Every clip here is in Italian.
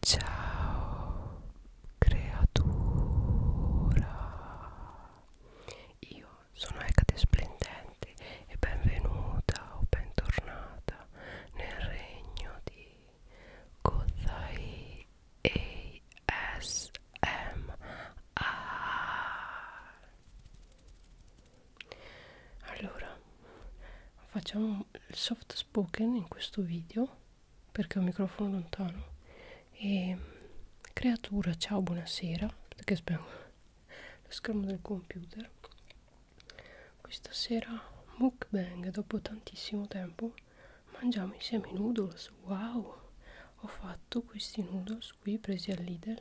Ciao creatura, io sono Ecate Splendente e benvenuta o bentornata nel regno di Kozai ASMR. Allora, facciamo il soft spoken in questo video perché ho un microfono lontano e creatura ciao buonasera perché spengo lo schermo del computer questa sera mukbang dopo tantissimo tempo mangiamo insieme i noodles wow ho fatto questi noodles qui presi al Lidl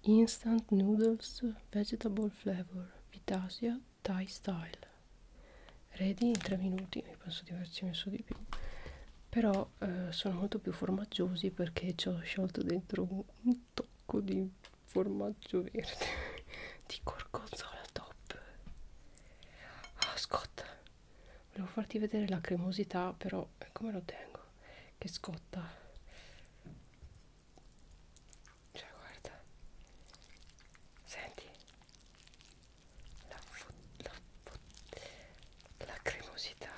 instant noodles vegetable flavor vitasia Thai Style ready in 3 minuti mi penso di averci messo di più però eh, sono molto più formaggiosi perché ci ho sciolto dentro un tocco di formaggio verde di gorgonzola top ah scotta volevo farti vedere la cremosità però eh, come lo tengo che scotta cioè guarda senti la, la, la cremosità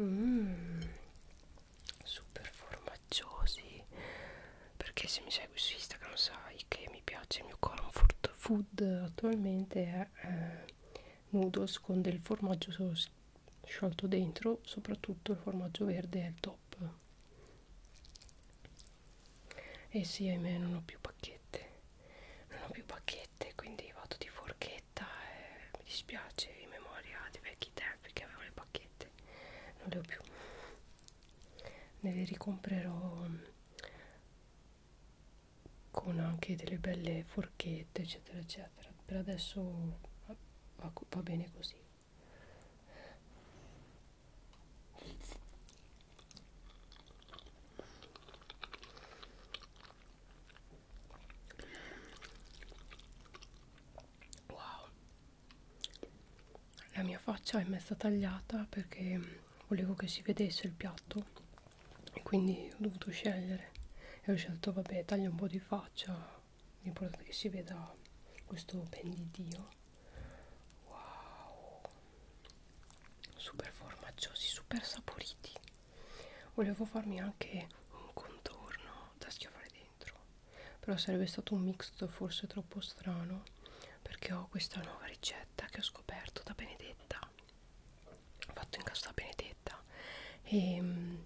mm, super formaggiosi perché se mi segui su Instagram sai che mi piace il mio comfort food attualmente è eh, noodles con del formaggio sciolto dentro soprattutto il formaggio verde è il top e sì ahimè non ho più pacchette non ho più pacchette quindi vado di forchetta e mi dispiace in memoria di vecchi tempi che avevo le pacchette non le ho più ne ricomprerò mm, con anche delle belle forchette eccetera eccetera per adesso va, va bene così Wow, la mia faccia è mezza tagliata perché volevo che si vedesse il piatto e quindi ho dovuto scegliere e ho scelto vabbè taglio un po' di faccia l'importante è che si veda questo ben di Dio wow super formaggiosi super saporiti volevo farmi anche un contorno da schiavare dentro però sarebbe stato un mix forse troppo strano perché ho questa nuova ricetta che ho scoperto da Benedetta fatto in casa da Benedetta e ehm,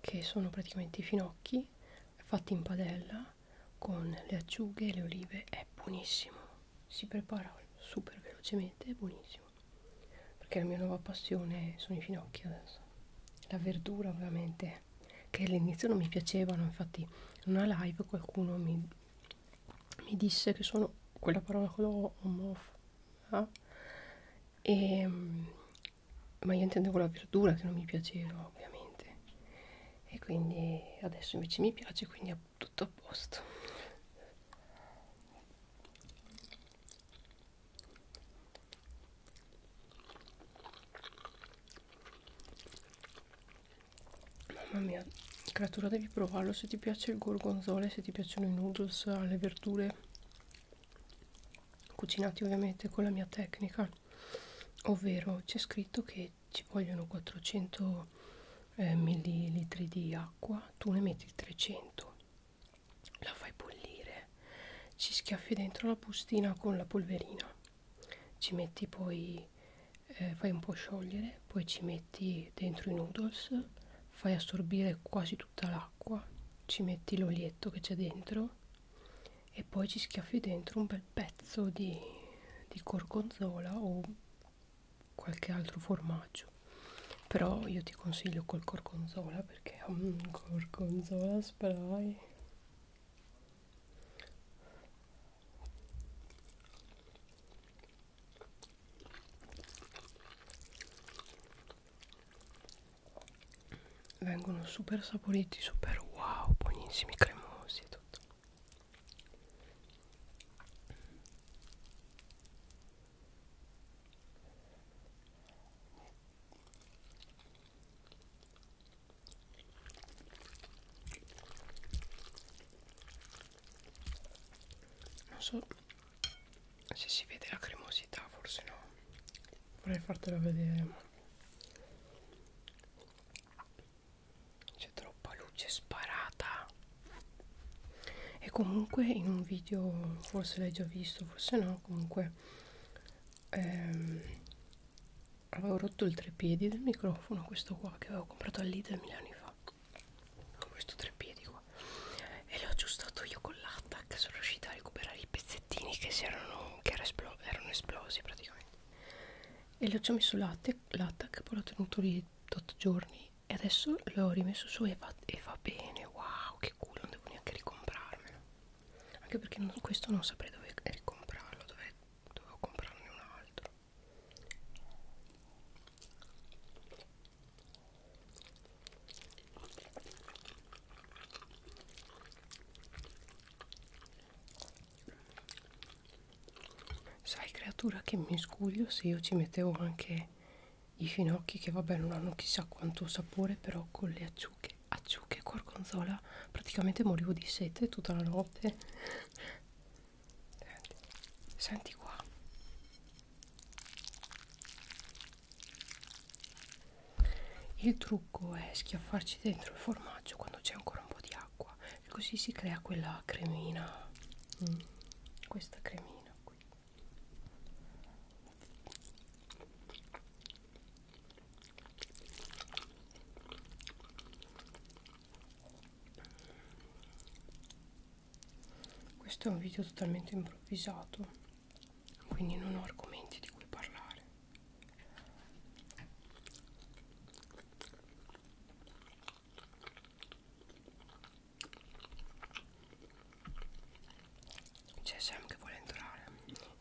che sono praticamente i finocchi fatti in padella con le acciughe e le olive è buonissimo si prepara super velocemente è buonissimo perché la mia nuova passione sono i finocchi adesso la verdura ovviamente che all'inizio non mi piacevano infatti in una live qualcuno mi, mi disse che sono quella parola che ho omof eh? e ma io intendevo la verdura che non mi piaceva ovviamente e quindi adesso invece mi piace quindi è tutto a posto mamma mia creatura devi provarlo se ti piace il gorgonzola se ti piacciono i noodles le verdure cucinati ovviamente con la mia tecnica ovvero c'è scritto che ci vogliono 400 eh, millilitri di acqua tu ne metti 300 la fai bollire ci schiaffi dentro la bustina con la polverina ci metti poi eh, fai un po' sciogliere poi ci metti dentro i noodles fai assorbire quasi tutta l'acqua ci metti l'olietto che c'è dentro e poi ci schiaffi dentro un bel pezzo di, di gorgonzola o qualche altro formaggio però io ti consiglio col gorgonzola perché è un gorgonzola spray vengono super saporiti super wow buonissimi cremosi e tutto non so se si vede la cremosità forse no vorrei fartela vedere ma c'è troppa luce sparata e comunque in un video forse l'hai già visto forse no comunque ehm, avevo rotto il trepiedi del microfono questo qua che avevo comprato all'Idea mille anni fa questo trepiedi qua e l'ho aggiustato io con l'attack sono riuscita a recuperare i pezzettini pezzettini che, si erano, che era esplo erano esplosi praticamente e l'ho già messo l'attack poi l'ho tenuto lì 8 giorni e adesso l'ho rimesso su e va, e va bene wow che culo non devo neanche ricomprarmelo anche perché non, questo non saprei dove ricomprarlo dove, dovevo comprarne un altro Sai creatura che mi scuglio se io ci mettevo anche i finocchi che vabbè non hanno chissà quanto sapore però con le acciughe, acciughe e gorgonzola praticamente morivo di sete tutta la notte. Senti, senti qua il trucco è schiaffarci dentro il formaggio quando c'è ancora un po' di acqua e così si crea quella cremina mm. questa cremina qui questo è un video totalmente improvvisato quindi non ho argomenti di cui parlare c'è Sam che vuole entrare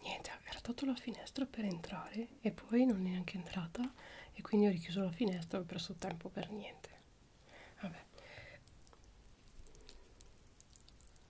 niente ha grattato la finestra per entrare e poi non è neanche entrata e quindi ho richiuso la finestra ho perso tempo per niente vabbè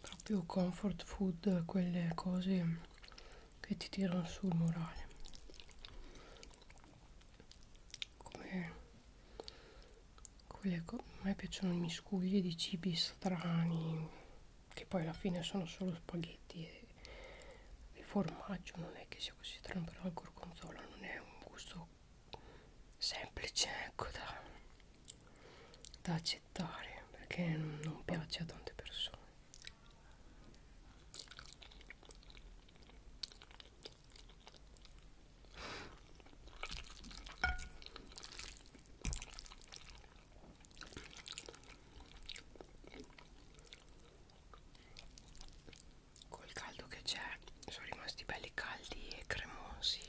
proprio comfort food quelle cose che ti tirano su il morale come quelle co a me piacciono miscuglie di cibi strani che poi alla fine sono solo spaghetti e il formaggio non è che sia così strano però il gorgonzola non è un gusto semplice ecco da da accettare perché non piace a tante persone col caldo che c'è sono rimasti belli caldi e cremosi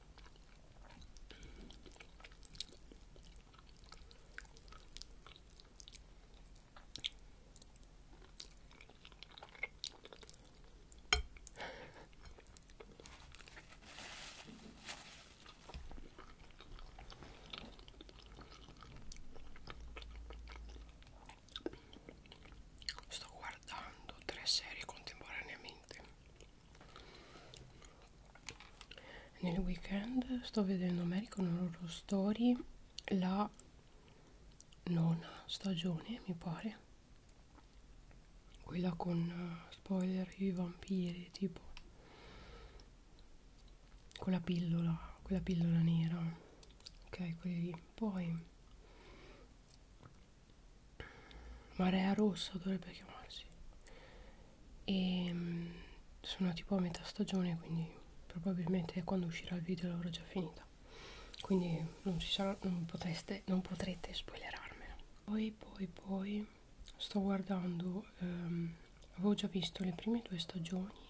Sto guardando tre serie contemporaneamente nel weekend sto vedendo American Horror Story la nona stagione mi pare quella con uh, spoiler i vampiri tipo con la pillola quella pillola nera ok quelli lì poi Marea Rossa dovrebbe chiamarsi e ehm, sono tipo a metà stagione quindi probabilmente quando uscirà il video l'avrò già finita quindi non, ci sarà, non, potreste, non potrete spoilerarmela poi poi poi sto guardando ehm, avevo già visto le prime due stagioni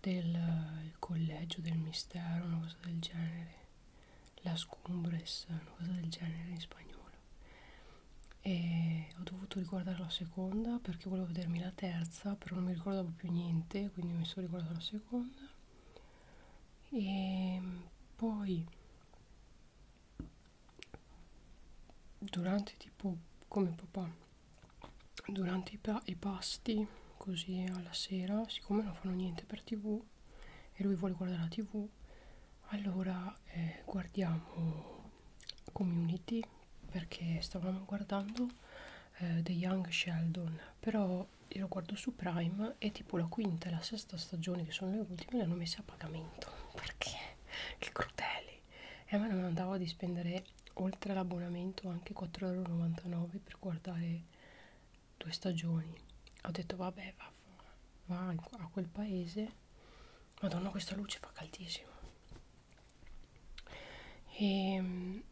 del collegio del mistero una cosa del genere las cumbres una cosa del genere in spagnolo e ho dovuto riguardare la seconda perché volevo vedermi la terza però non mi ricordavo più niente quindi mi sono riguardata la seconda e poi durante tipo come papà durante i, pa i pasti così alla sera siccome non fanno niente per tv e lui vuole guardare la tv allora eh, guardiamo community perché stavamo guardando eh, The Young Sheldon però io lo guardo su Prime e tipo la quinta e la sesta stagione che sono le ultime le hanno messe a pagamento perché? che crudeli e a me non andava di spendere oltre all'abbonamento anche 4,99€ per guardare due stagioni ho detto vabbè va scaffa va a quel paese madonna questa luce fa caldissimo e ehm,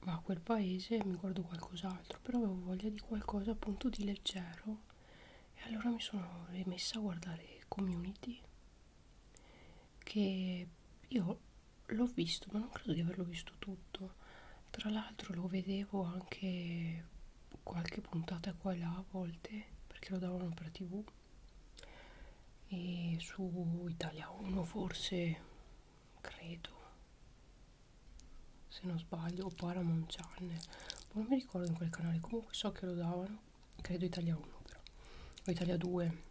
va a quel paese mi guardo qualcos'altro però avevo voglia di qualcosa appunto di leggero e allora mi sono rimessa a guardare community che io l'ho visto ma non credo di averlo visto tutto tra l'altro lo vedevo anche qualche puntata qua e là a volte perché lo davano per tv e su Italia 1 forse credo se non sbaglio o Paramount Channel non mi ricordo in quel canale comunque so che lo davano credo Italia 1 però o Italia 2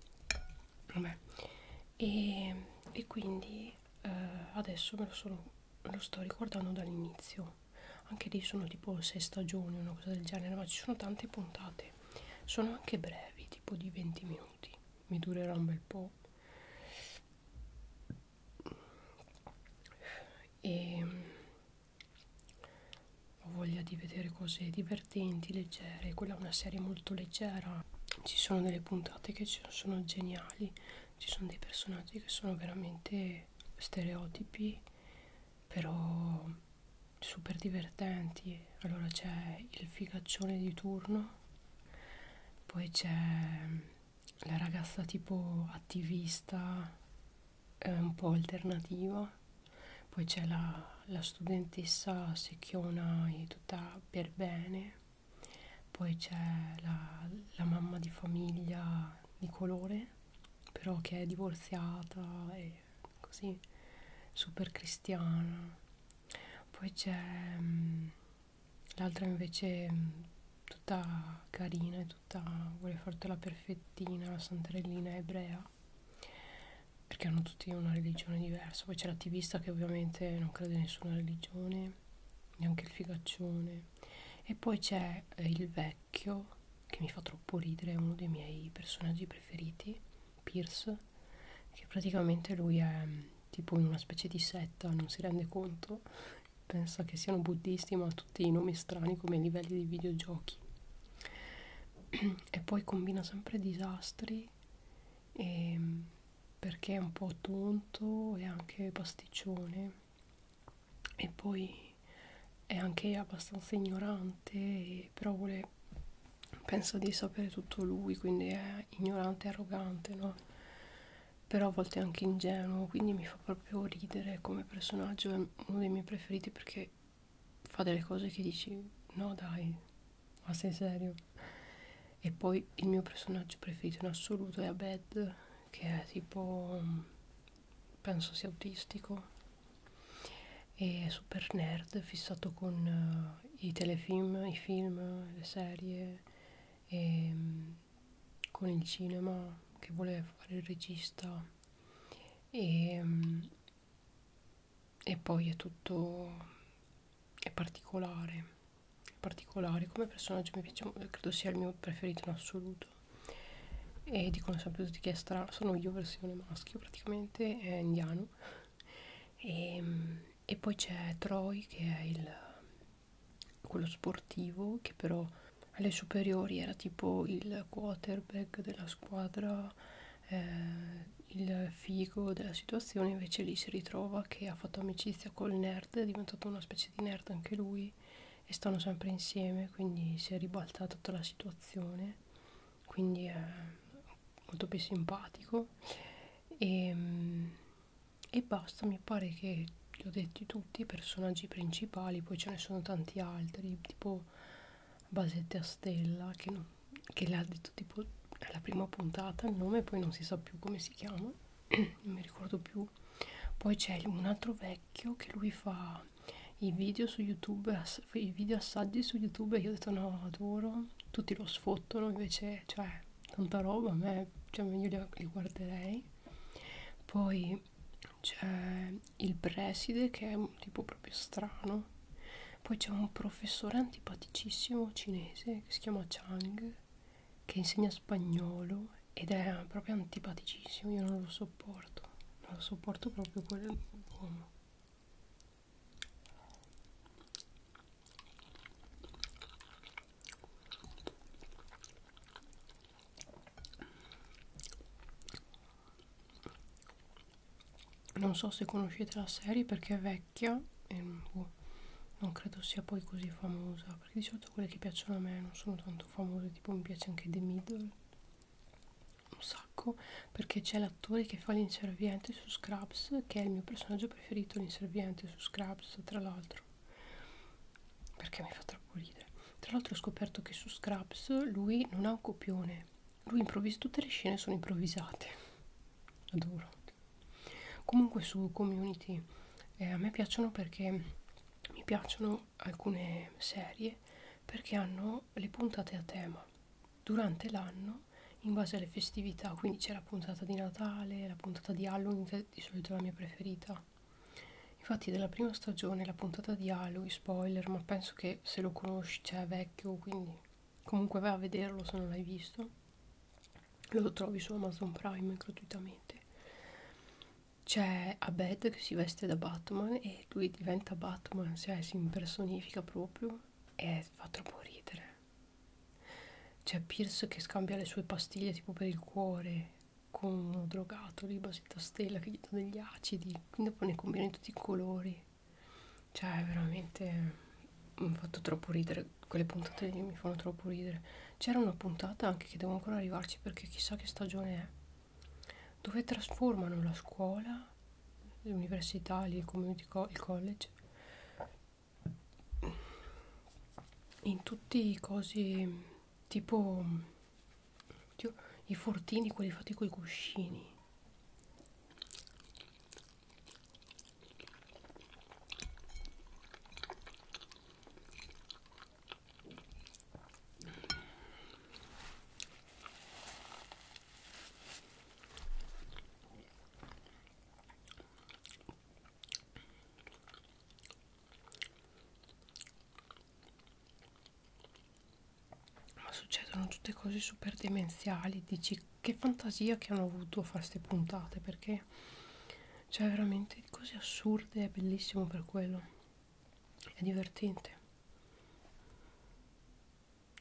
vabbè e, e quindi eh, adesso me lo, sono, me lo sto ricordando dall'inizio anche lì sono tipo 6 stagioni una cosa del genere ma ci sono tante puntate sono anche brevi tipo di 20 minuti mi durerà un bel po' e ehm, ho voglia di vedere cose divertenti leggere quella è una serie molto leggera ci sono delle puntate che sono geniali ci sono dei personaggi che sono veramente anche stereotipi però super divertenti allora c'è il figaccione di turno poi c'è mm, la ragazza tipo attivista eh, un po' alternativa poi c'è la, la studentessa secchiona e tutta per bene poi c'è la, la mamma di famiglia di colore però che è divorziata e così super cristiana poi c'è mm, l'altra invece mm, tutta carina e tutta vuole fartela perfettina la santarellina ebrea perché hanno tutti una religione diversa poi c'è l'attivista che ovviamente non crede in nessuna religione neanche il figaccione e poi c'è eh, il vecchio che mi fa troppo ridere è uno dei miei personaggi preferiti Pierce che praticamente lui è mm, tipo in una specie di setta non si rende conto pensa che siano buddisti ma ha tutti i nomi strani come livelli di videogiochi e poi combina sempre disastri e, ehm, perché è un po' tonto e anche pasticcione e poi è anche abbastanza ignorante, però vuole, penso di sapere tutto lui, quindi è ignorante e arrogante, no? Però a volte è anche ingenuo, quindi mi fa proprio ridere come personaggio, è uno dei miei preferiti perché fa delle cose che dici no dai, ma sei serio? E poi il mio personaggio preferito in assoluto è Abed, che è tipo penso sia autistico e super nerd fissato con uh, i telefilm, i film, le serie e um, con il cinema che vuole fare il regista e, um, e poi è tutto è particolare è particolare come personaggio mi piace credo sia il mio preferito in assoluto appunto e dicono sempre tutti che è strano sono io versione maschio praticamente è indiano e, ehm, e poi c'è Troy che è il, quello sportivo che però alle superiori era tipo il quarterback della squadra eh, il figo della situazione invece lì si ritrova che ha fatto amicizia col nerd è diventato una specie di nerd anche lui e, e stanno sempre insieme, quindi si è ribaltata tutta la situazione, quindi è molto più simpatico e, ehm, e basta, mi pare che li ho detti tutti i personaggi principali, poi ce ne sono tanti altri, tipo Basette a Stella, che, no, che l'ha detto tipo alla prima puntata il nome, poi non si sa più come si chiama, non mi ricordo più poi c'è un altro vecchio che lui fa i video su youtube i video assaggi su youtube io ho detto no adoro tutti lo sfottono invece cioè tanta roba a me cioè meglio li, li guarderei poi c'è il preside che è un tipo proprio strano poi c'è un professore antipaticissimo cinese che si chiama Chang che insegna spagnolo ed è proprio antipaticissimo, io non lo sopporto, non lo sopporto proprio quell'uomo. Non so se conoscete la serie perché è vecchia e ehm, boh, non credo sia poi così famosa perché di solito quelle che piacciono a me non sono tanto famose, tipo mi piace anche The Middle, un sacco, perché c'è l'attore che fa l'inserviente su Scraps, che è il mio personaggio preferito, l'inserviente su Scraps, tra l'altro, perché mi fa troppo ridere. Tra l'altro ho scoperto che su Scraps lui non ha un copione, lui improvvisa, tutte le scene sono improvvisate, adoro. Comunque su Community eh, a me piacciono perché mi piacciono alcune serie perché hanno le puntate a tema durante l'anno in base alle festività, quindi c'è la puntata di Natale, la puntata di Halloween, che è di solito la mia preferita. Infatti della prima stagione la puntata di Halloween, spoiler, ma penso che se lo conosci, cioè è vecchio, quindi comunque vai a vederlo se non l'hai visto. Lo trovi su Amazon Prime gratuitamente c'è Abed che si veste da Batman e lui diventa Batman, cioè si impersonifica proprio e fa troppo ridere. C'è Pierce che scambia le sue pastiglie tipo per il cuore con uno drogato di Basita Stella che gli dà degli acidi, quindi dopo ne combina in tutti i colori. Cioè, veramente mi ha fatto troppo ridere, quelle puntate lì mi fanno troppo ridere. C'era una puntata anche che devo ancora arrivarci perché chissà che stagione è. Dove trasformano la scuola, l'università, il community co il college in tutti i cosi tipo oddio, i fortini, quelli fatti coi cuscini. Ma succedono tutte cose super demenziali, dici che fantasia che hanno avuto a fare queste puntate perché cioè veramente cose assurde, è bellissimo per quello è divertente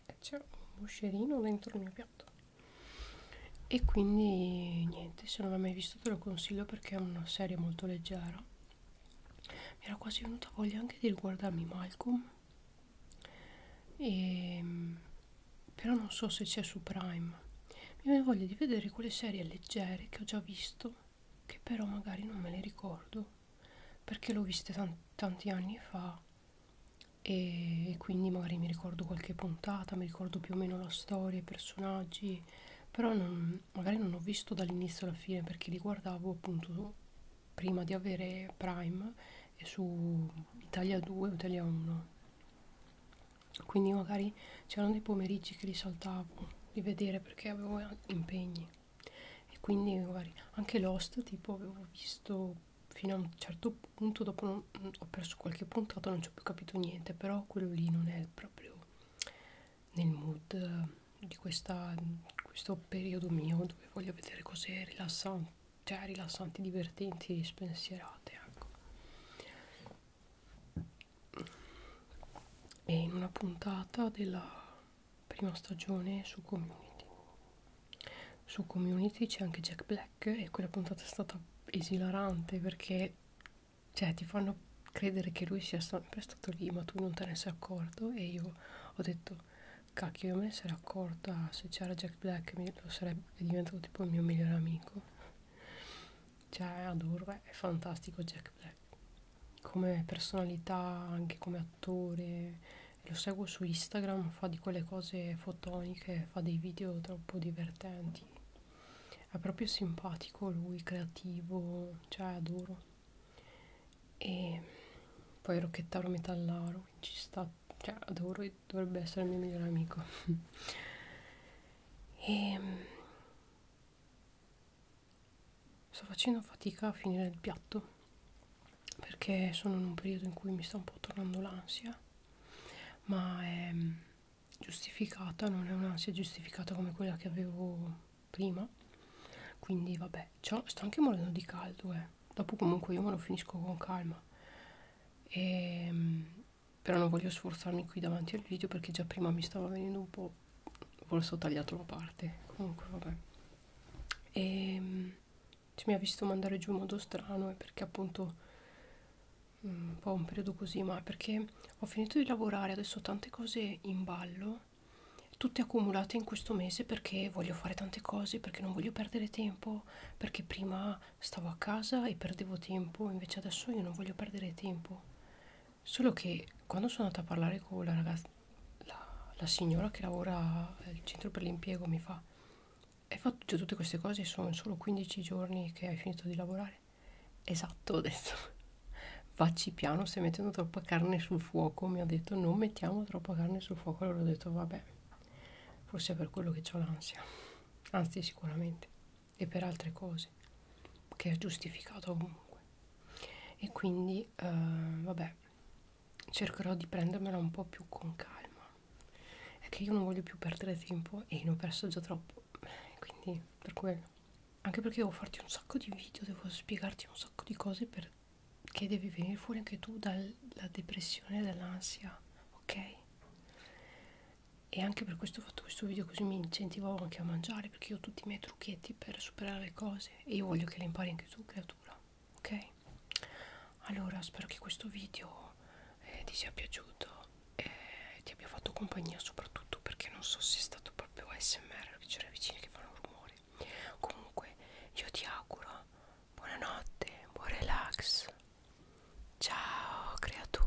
e c'è un moscerino dentro il mio piatto e quindi niente se non l'hai mai visto te lo consiglio perché è una serie molto leggera mi era quasi venuta voglia anche di riguardarmi Malcolm e, ehm, però non so se c'è su Prime mi viene voglia di vedere quelle serie leggere che ho già visto che però magari non me le ricordo perché l'ho viste tanti, tanti anni fa e, e quindi magari mi ricordo qualche puntata, mi ricordo più o meno la storia, i personaggi, però non, magari non ho visto dall'inizio alla fine perché li guardavo appunto prima di avere Prime e su Italia 2 o Italia 1. Quindi magari c'erano dei pomeriggi che li saltavo di vedere perché avevo impegni e quindi magari anche Lost tipo avevo visto fino a un certo punto dopo non, ho perso qualche puntata non ci ho più capito niente però quello lì non è proprio nel mood di questa, questo periodo mio dove voglio vedere cose rilassanti cioè rilassanti divertenti spensierate ecco e in una puntata della prima stagione su Community. Su Community c'è anche Jack Black e quella puntata è stata esilarante perché cioè, ti fanno credere che lui sia sempre stato lì ma tu non te ne sei accorto e io ho detto cacchio io me ne sarei accorta se c'era Jack Black mi, lo sarebbe diventato tipo il mio migliore amico cioè adoro, beh, è fantastico Jack Black come personalità, anche come attore, lo seguo su Instagram, fa di quelle cose fotoniche, fa dei video troppo divertenti, è proprio simpatico lui, creativo, cioè adoro. E poi Rocchettaro Metallaro, ci sta, cioè adoro e dovrebbe essere il mio migliore amico. e ehm, sto facendo fatica a finire il piatto perché sono in un periodo in cui mi sta un po' tornando l'ansia ma è mm, giustificata non è un'ansia giustificata come quella che avevo prima quindi vabbè sto anche morendo di caldo eh. dopo comunque io me lo finisco con calma e, ehm, però non voglio sforzarmi qui davanti al video perché già prima mi stava venendo un po' forse ho tagliato la parte comunque vabbè e ehm, cioè, mi ha visto mandare giù in modo strano perché appunto mm, un po' un periodo così ma perché ho finito di lavorare adesso ho tante cose in ballo tutte accumulate in questo mese perché voglio fare tante cose perché non voglio perdere tempo perché prima stavo a casa e perdevo tempo invece adesso io non voglio perdere tempo Solo che quando sono andata a parlare con la ragazza, la, la signora che lavora al centro per l'impiego mi fa, hai fatto tutte queste cose, sono solo 15 giorni che hai finito di lavorare. Esatto, ho detto, vacci piano, stai mettendo troppa carne sul fuoco, mi ha detto, non mettiamo troppa carne sul fuoco, allora ho detto, vabbè, forse è per quello che ho l'ansia, anzi sicuramente e per altre cose che è giustificato comunque e quindi eh, vabbè cercherò di prendermela un po' più con calma è che io non voglio più perdere tempo e ne ho perso già troppo quindi per quello anche perché devo farti un sacco di video devo spiegarti un sacco di cose perché devi venire fuori anche tu dalla depressione dall'ansia ok e anche per questo fatto questo video così mi incentivavo anche a mangiare perché io ho tutti i miei trucchetti per superare le cose e io voglio che le impari anche tu creatura ok allora spero che questo video eh, ti sia piaciuto e ti abbia fatto compagnia soprattutto perché non so se è stato proprio ASMR che c'era vicini che fanno rumore comunque io ti auguro buonanotte buon relax ciao creatura